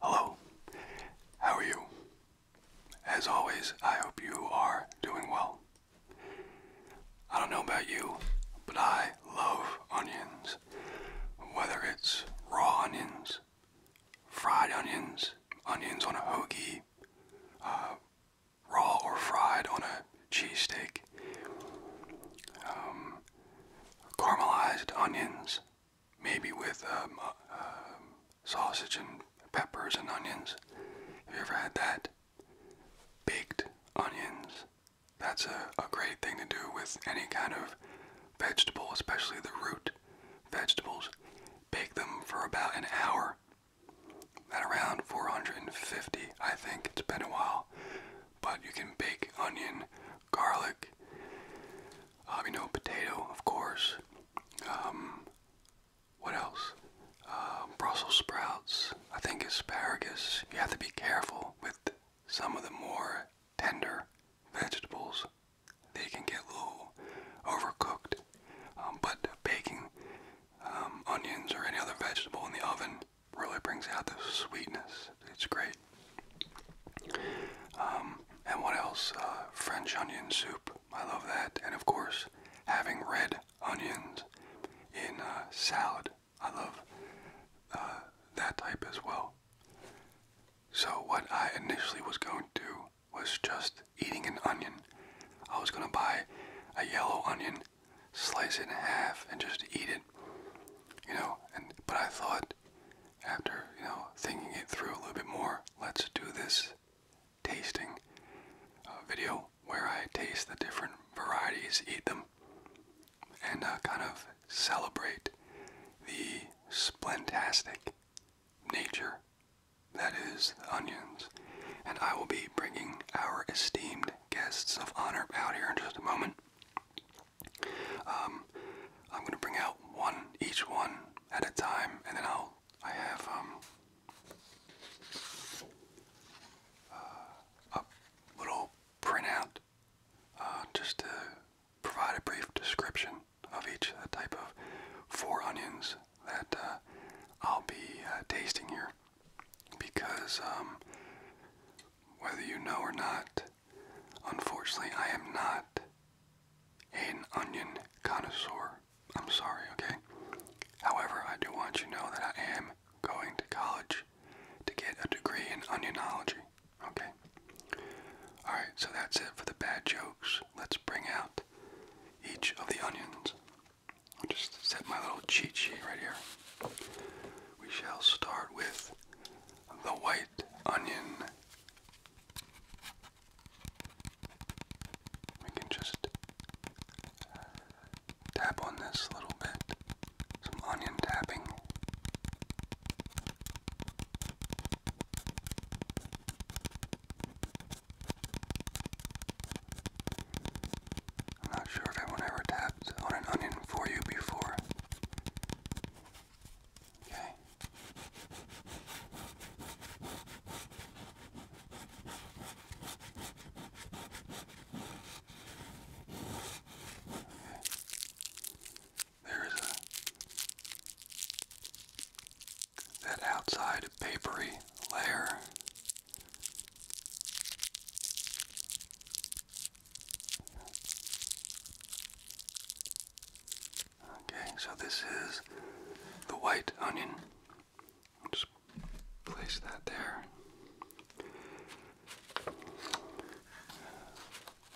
Hello, how are you? As always, I hope you are doing well. I don't know about you, but I love onions. Whether it's raw onions, fried onions, onions on a hoagie, uh, raw or fried on a cheesesteak, um, caramelized onions maybe with um, uh, um, sausage and peppers and onions. Have you ever had that? Baked onions. That's a, a great thing to do with any kind of vegetable, especially the root vegetables. Bake them for about an hour at around 450, I think. It's been a while. But you can bake onion, garlic, um, you know, potato, of course. Um, what else? Um, Brussels sprouts. I think asparagus. You have to be careful with some of the more tender vegetables. They can get a little overcooked. but baking onions or any other vegetable in the oven really brings out the sweetness it's great. Um, and what else? Uh, French onion soup. I love that. And of course, having red onions in a uh, salad. I love uh, that type as well. So what I initially was going to do was just eating an onion. I was going to buy a yellow onion, slice it in half, and just eat it. You know, and but I thought after, you know, thinking it through a little bit more, let's do this tasting uh, video where I taste the different varieties, eat them, and uh, kind of celebrate the splentastic nature that is onions. And I will be bringing our esteemed guests of honor out here in just a moment. Um, I'm going to bring out one, each one at a time, and then I'll, I have, um, uh, a little printout, uh, just to provide a brief description of each type of four onions that uh, I'll be tasting here. Because, um, whether you know or not, Unfortunately, I am not an onion connoisseur. I'm sorry, okay? However, I do want you to know that I am going to college to get a degree in onionology, okay? Alright, so that's it for the bad jokes. Let's bring out each of the onions. I'll just set my little cheat sheet right here. We shall start with the white onion we can just tap on this little bit, some onion tapping. I'm not sure if anyone ever tapped on an onion for you before. Okay. There is a that outside papery layer. Okay, so this is the white onion. just place that there.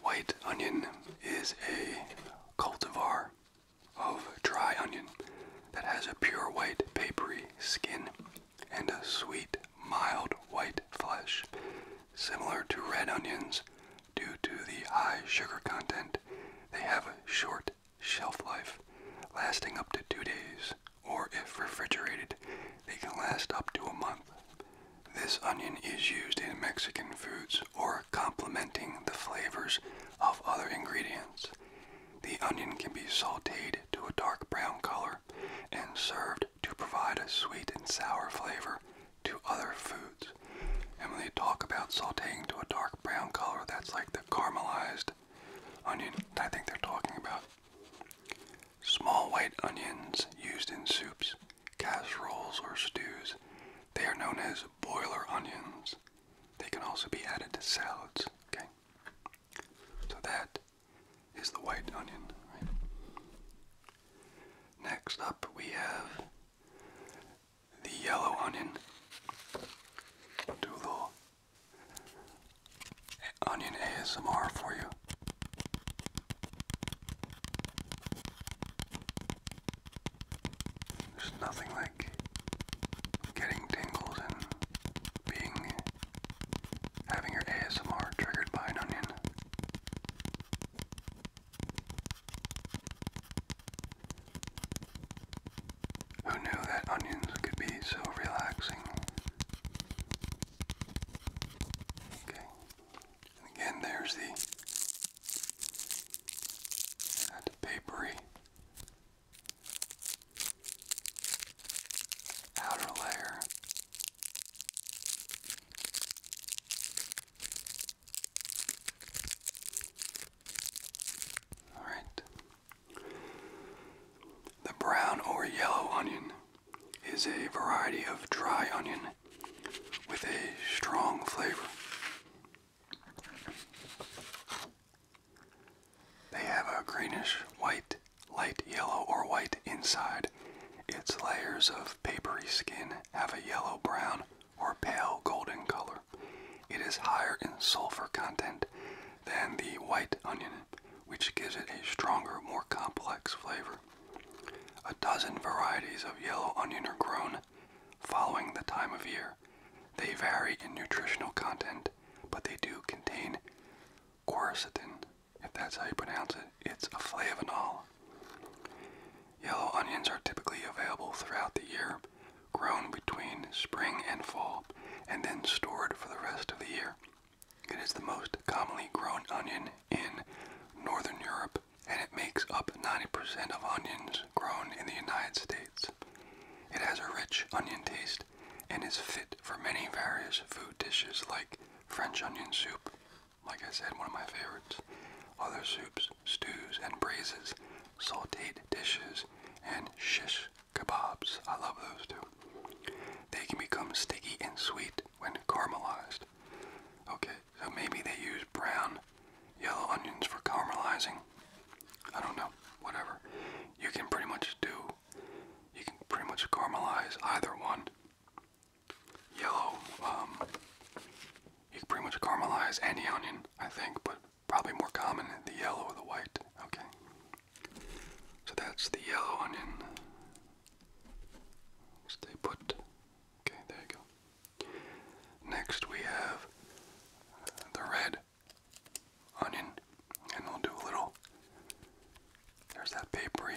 White onion is a cultivar of dry onion that has a pure white papery skin and a sweet mild white flesh similar to red onions Due to the high sugar content, they have a short shelf life, lasting up to two days, or if refrigerated, they can last up to a month. This onion is used in Mexican foods or complementing the flavors of other ingredients. The onion can be sauteed to a dark brown color and served to provide a sweet and sour flavor to other foods. And when they talk about sauteing to a dark brown color, that's like the caramelized onion. I think they're talking about small white onions used in soups, casseroles, or stews. They are known as boiler onions. They can also be added to salads. Okay, so that is the white onion. Right? Next up, we have the yellow onion. Do a little onion ASMR for you. There's nothing like getting tingles and being having your ASMR triggered by an onion. Who knew that onions could be so relaxing? Okay. again, there's the papery outer layer. All right. The brown or yellow onion is a variety of dry onion with a strong flavor. They have a greenish white, light yellow or white inside its layers of papery skin have a yellow brown or pale golden color. It is higher in sulfur content than the white onion, which gives it a stronger, more complex flavor. A dozen varieties of yellow onion are grown following the time of year. They vary in nutritional content, but they do contain quercetin, if that's how you pronounce it. It's a flavonoid Yellow onions are typically available throughout the year, grown between spring and fall, and then stored for the rest of the year. It is the most commonly grown onion in Northern Europe, and it makes up 90% of onions grown in the United States. It has a rich onion taste and is fit for many various food dishes like French onion soup, like I said, one of my favorites. Other soups, stews, and braises, sauteed dishes, and shish kebabs. I love those too. They can become sticky and sweet when caramelized. Okay, so maybe they use brown, yellow onions for caramelizing. I don't know, whatever. You can pretty much do, you can pretty much caramelize either one yellow. Um, you can pretty much caramelize any onion, I think, but probably more common the yellow or the white. Okay. So that's the yellow onion. Stay put. Okay, there you go. Next we have the red onion, and we'll do a little. There's that papery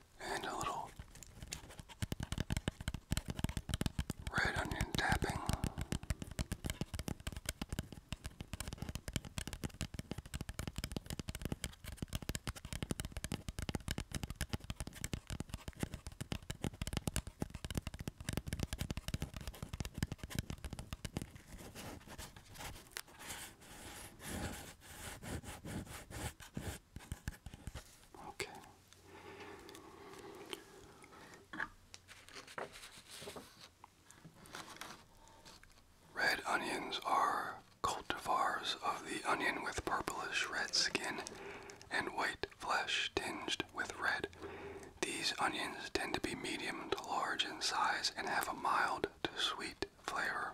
and a little red onion tapping. Red onions are cultivars of the onion with purplish red skin and white flesh tinged with red. These onions tend to be medium to large in size and have a mild to sweet flavor.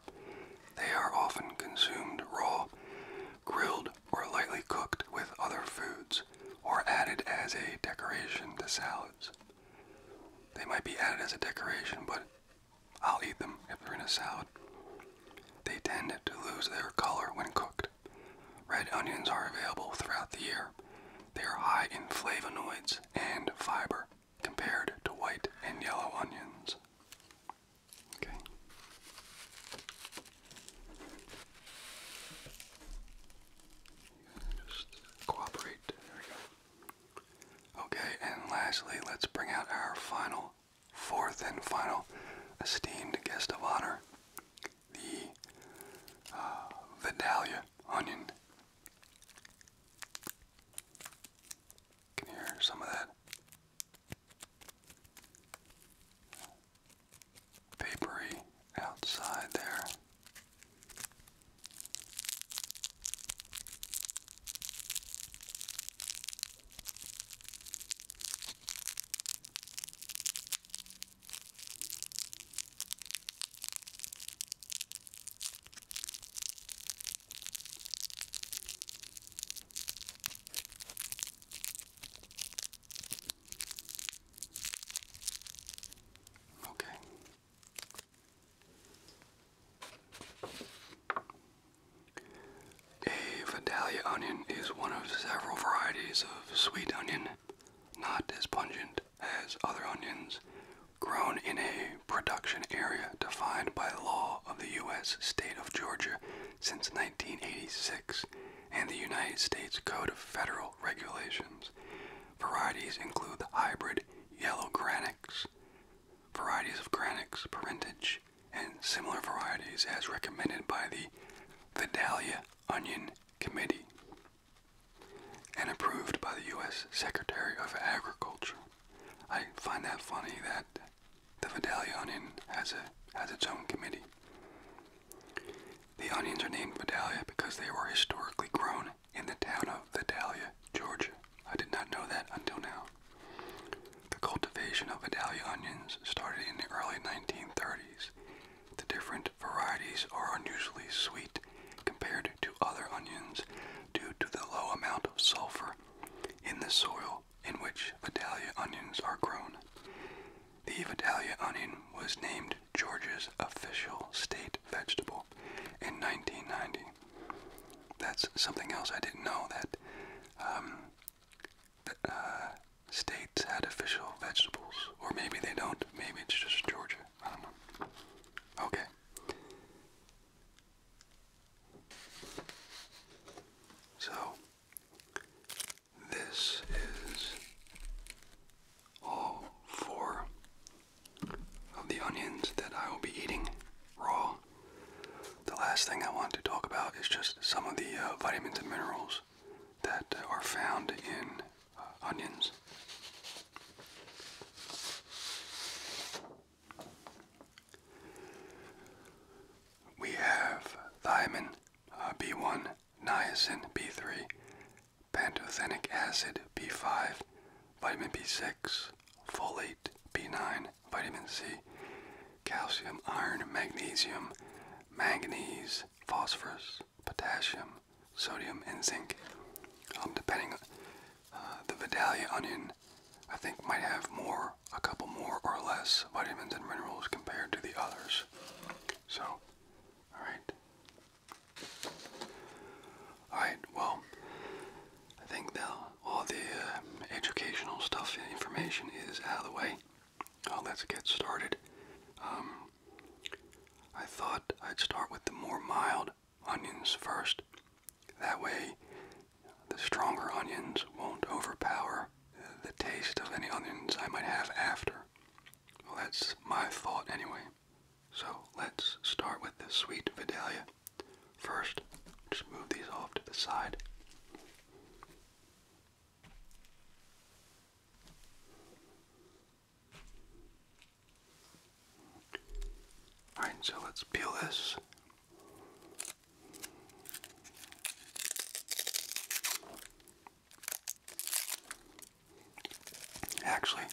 They are often consumed raw, grilled, or lightly cooked with other foods, or added as a decoration to salads. They might be added as a decoration, but I'll eat them if they're in a salad. They tend to lose their color when cooked. Red onions are available throughout the year. They are high in flavonoids and fiber compared to white and yellow onions. Okay. Just cooperate. Okay, and lastly, let's bring out our final, fourth and final esteemed guest of honor, the uh, Vidalia onion. Can hear some of that? Papery outside there. Okay. A Vidalia onion is one of several varieties of sweet onion, not as pungent as other onions, grown in a production area defined by law of the U.S. state of Georgia since 1986 and the United States Code of Federal Regulations. Varieties include the hybrid yellow granix, varieties of granix parentage, and similar varieties as recommended by the Vidalia Onion Committee and approved by the U.S. Secretary of Agriculture. I find that funny that the Vidalia onion has a has its own committee. The onions are named Vidalia because they were historically grown in the town of Vidalia, Georgia. I did not know that until now. The cultivation of Vidalia onions started in the early 1930s. The different varieties are unusually sweet compared to other onions due to the low amount of sulfur in the soil in which Vidalia onions are grown. The Vidalia onion was named Georgia's official state vegetable in 1990. That's something else I didn't know that um, th uh, states had official vegetables, or maybe they don't. Maybe it's just Georgia. I don't know. Okay. So this is all four of the onions that I will be eating raw. The last thing I want to talk about is just some of the uh, vitamins and minerals that uh, are found in uh, onions. We have thiamine uh, B1, niacin B3, pantothenic acid B5, vitamin B6, folate B9, vitamin C, calcium, iron, magnesium, manganese, phosphorus, potassium, sodium, and zinc. Um, depending on uh, the Vidalia onion I think might have more, a couple more or less vitamins and minerals compared to the others. So, alright. Alright, well, I think now all the uh, educational stuff and information is out of the way. Uh, let's get started. Um, I thought I'd start with the more mild onions first. That way, the stronger onions won't overpower the taste of any onions I might have after. Well, that's my thought anyway. So let's start with the sweet Vidalia. First, just move these off to the side. Alright, so let's peel this. Actually,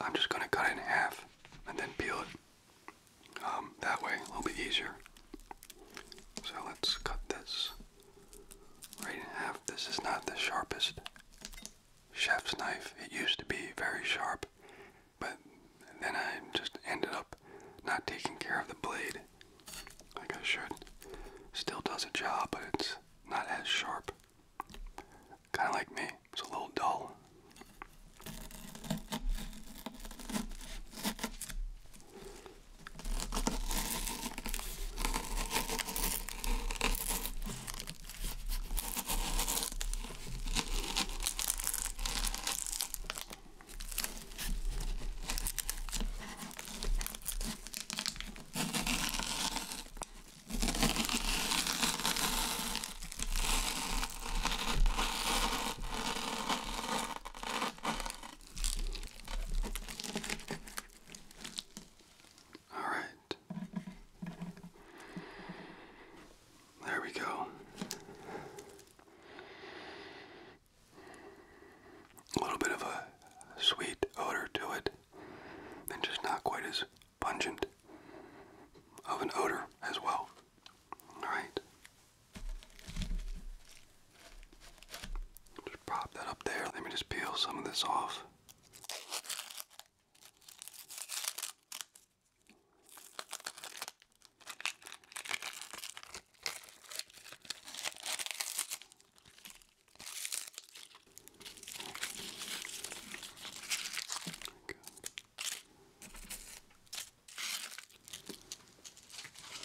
I'm just going to cut it in half and then peel it. Um, that way, a little bit easier. So let's cut this right in half. This is not the sharpest chef's knife. It used to be very sharp, but and then I just ended up not taking care of the blade like I should. Still does a job, but it's not as sharp. Kind of like me, it's a little dull. All right. There we go a little bit of a sweet odor to it, and just not quite as pungent of an odor as well. Alright. Just prop that up there. Let me just peel some of this off.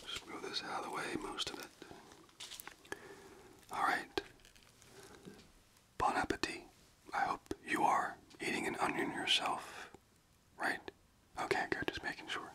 Just move this out of the way, most of it. All right. Bon appetit. I hope you are eating an onion yourself. Right? Okay, good. Just making sure.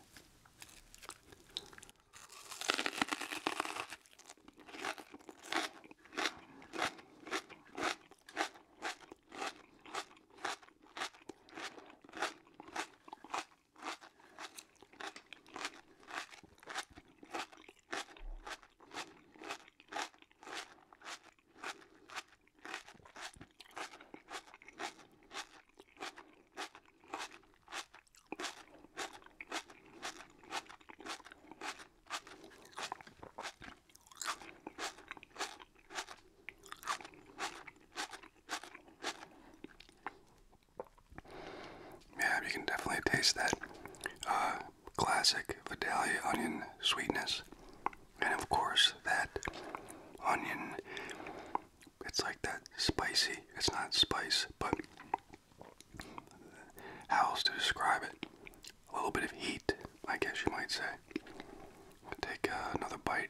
Yeah, you can definitely taste that uh, classic Vidalia onion sweetness. And of course, that onion it's like that spicy. It's not spice, but how else to describe it? A little bit of heat, I guess you might say. Take uh, another bite.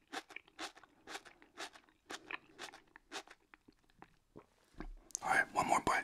All right, one more bite.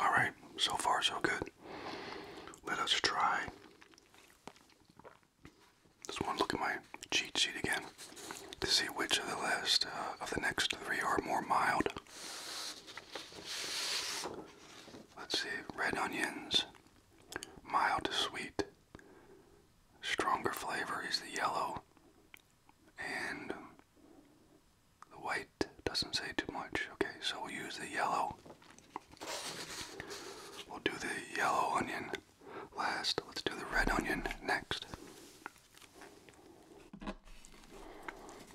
All right, so far so good. Let us try. Let's one look at my cheat sheet again to see which of the list uh, of the next three are more mild. Let's see, red onions, mild to sweet. Stronger flavor is the yellow, and the white doesn't say too much. Okay, so we'll use the yellow. We'll do the yellow onion last. Let's do the red onion next.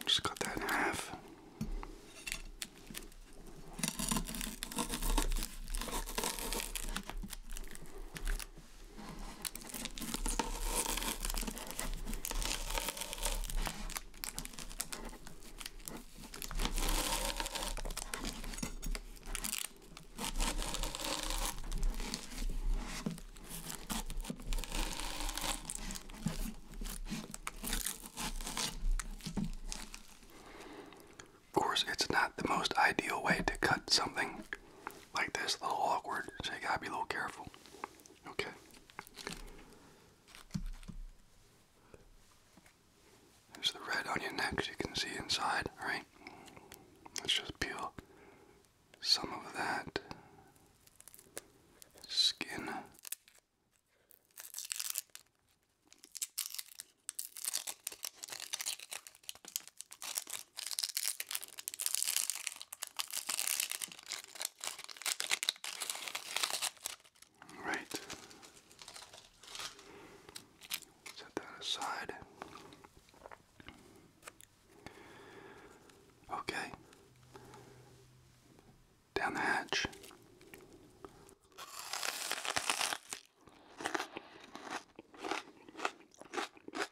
Just cut that in half. Of course, it's not the most ideal way to cut something, like this, a little awkward, so you gotta be a little careful. Okay. There's the red onion next, you can see inside, right? Let's just peel some of that skin. All right. Set that aside. Okay. Down the hatch.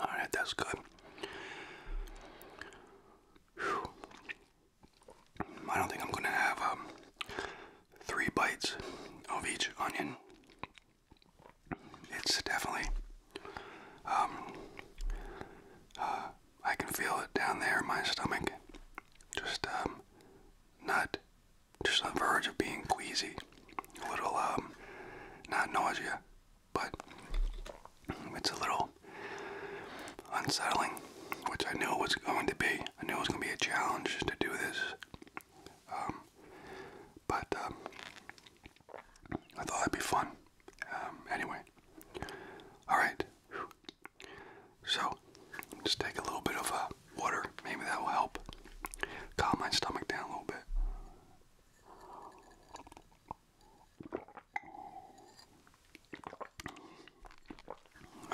All right, that's good. I don't think I'm gonna have um, three bites of each onion. It's definitely, um, uh, I can feel it down there in my stomach. Just, um, not, just on the verge of being queasy. A little, not nausea, but it's a little unsettling, which I knew it was going to be. I knew it was going to be a challenge to do this, um, but um, I thought it'd be fun. Um, anyway, all right. So, just take a little bit of uh, water. Maybe that will help calm my stomach down a little bit.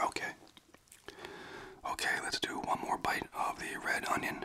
Okay. Okay, let's do one more bite of the red onion.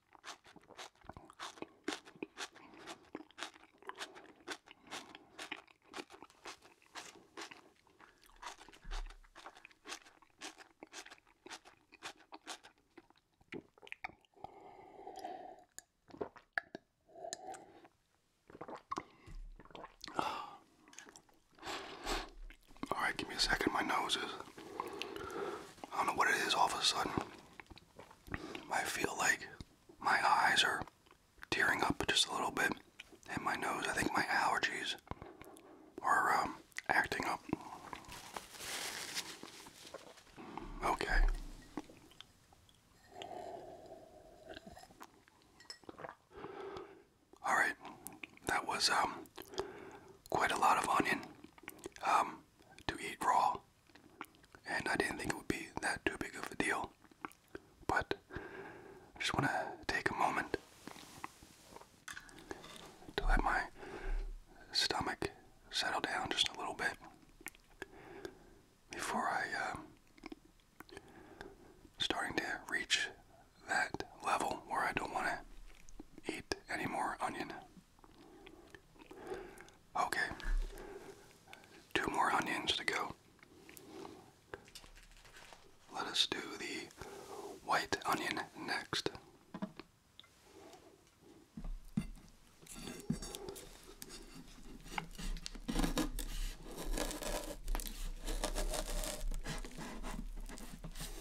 All right, give me a second. My nose is. I don't know what it is all of a sudden. I feel like my eyes are tearing up just a little bit, and my nose. I think my allergies are um, acting up. Okay. All right, that was um, quite a lot of onion. Um, to eat raw, and I didn't think it would be that too big of a deal. But I just want to take a moment to let my stomach settle down just a little bit before I um, starting to reach that level where I don't want to eat any more onion. Okay, two more onions to go. Let us do the white onion next.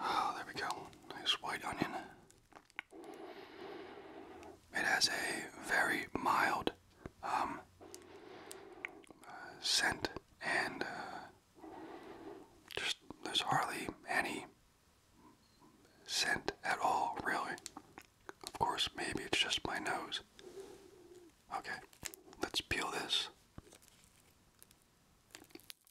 Oh, there we go. Nice white onion. It has a very mild um, uh, scent, and uh, just there's hardly any scent at all, really. Of course, maybe it's just my nose. Okay, let's peel this.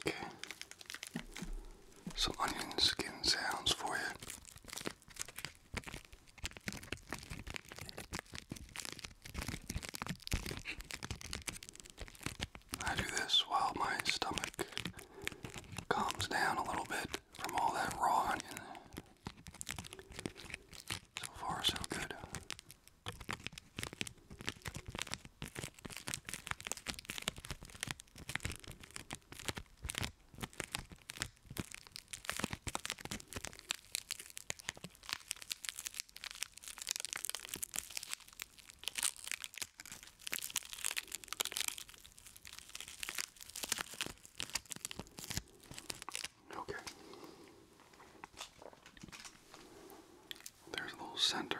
Okay. Some onion skin sounds for you. I do this while my stomach calms down a little bit from all that raw onion. So far, so good. Okay. There's a little center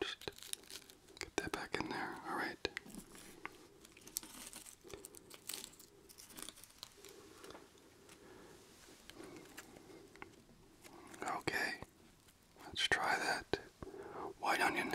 just get that back in there. All right. Okay, let's try that white onion.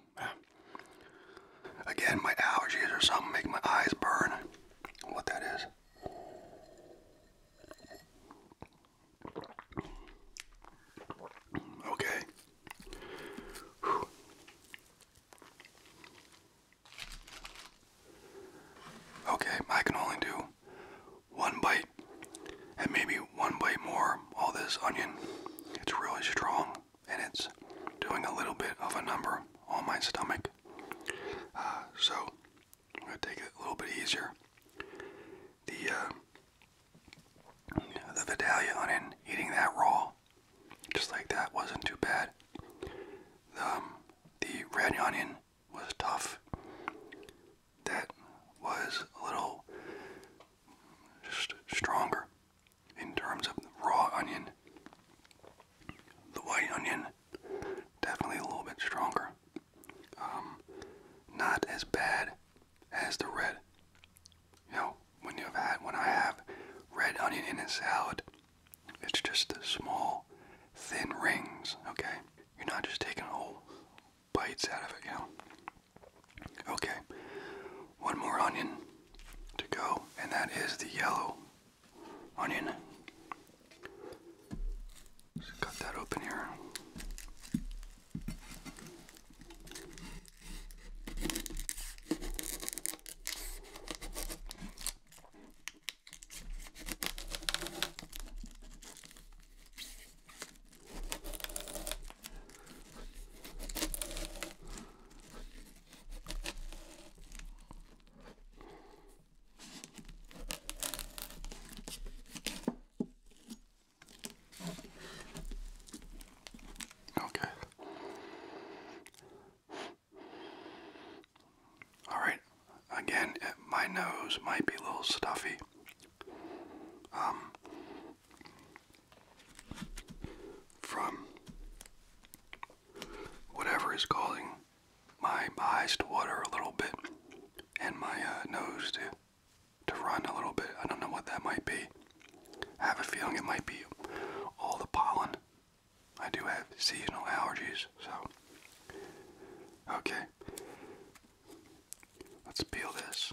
Again, my allergies or something make my eyes burn. What that is. Okay. Okay, I can only do one bite and maybe one bite more. All this onion, it's really strong and it's doing a little bit of a number on my stomach. Uh, so I'm gonna take it a little bit easier. The uh, the Vidalia onion, eating that raw, just like that, wasn't too bad. The, um, the red onion was tough. That was a little just stronger in terms of raw onion, the white onion definitely a little bit stronger. Um, not as bad as the red. You know, when you've had when I have red onion in a salad, it's just the small, thin rings. Okay, you're not just taking whole bites out of it. You know. Okay, one more onion to go, and that is the yellow onion. Just cut that open here. Okay. Alright, again, eh, my nose might be a little stuffy. Um, from whatever is causing my eyes to water a little bit and my uh, nose to to run a little bit. I don't know what that might be. I have a feeling it might be all the pollen. I do have seasonal allergies, so okay. Let's peel this.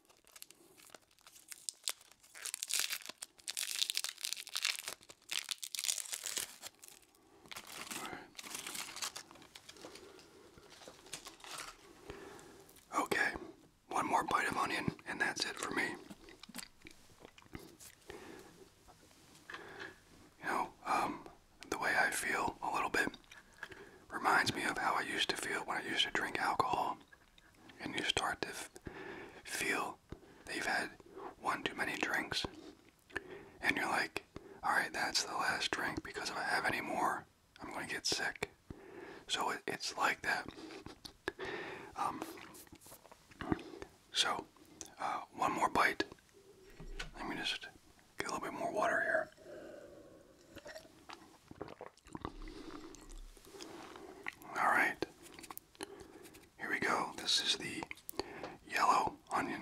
Okay, one more bite of onion, and that's it for me. You know, um, the way I feel a little bit reminds me of how I used to feel when I used to drink alcohol and you start to feel that you've had one too many drinks, and you're like, all right, that's the last drink because if I have any more, I'm going to get sick. So it's like that. Um, so, uh, one more bite. Let me just get a little bit more water here. Alright, here we go. This is the yellow onion.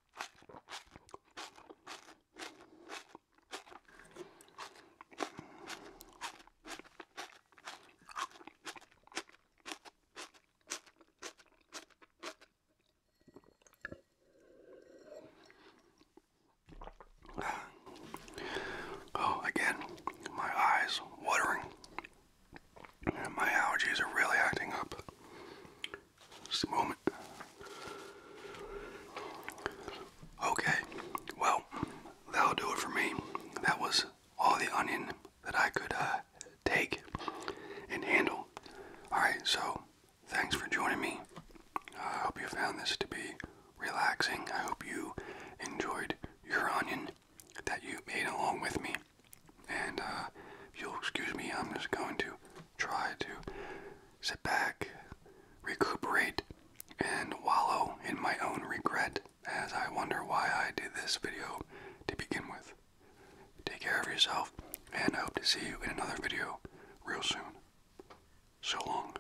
Oh, again, my eyes watering. my allergies are really acting up. Just a moment. Okay, well, that'll do it for me. That was all the onion that I could uh, take and handle. Alright, so thanks for joining me. I hope you found this to be relaxing. I hope you enjoyed your onion that you made along with me. And uh, if you'll excuse me, I'm just going to try to sit back, recuperate, and wallow in my own regret as I wonder why I did this video to begin with. Take care of yourself, and I hope to see you in another video real soon. So long.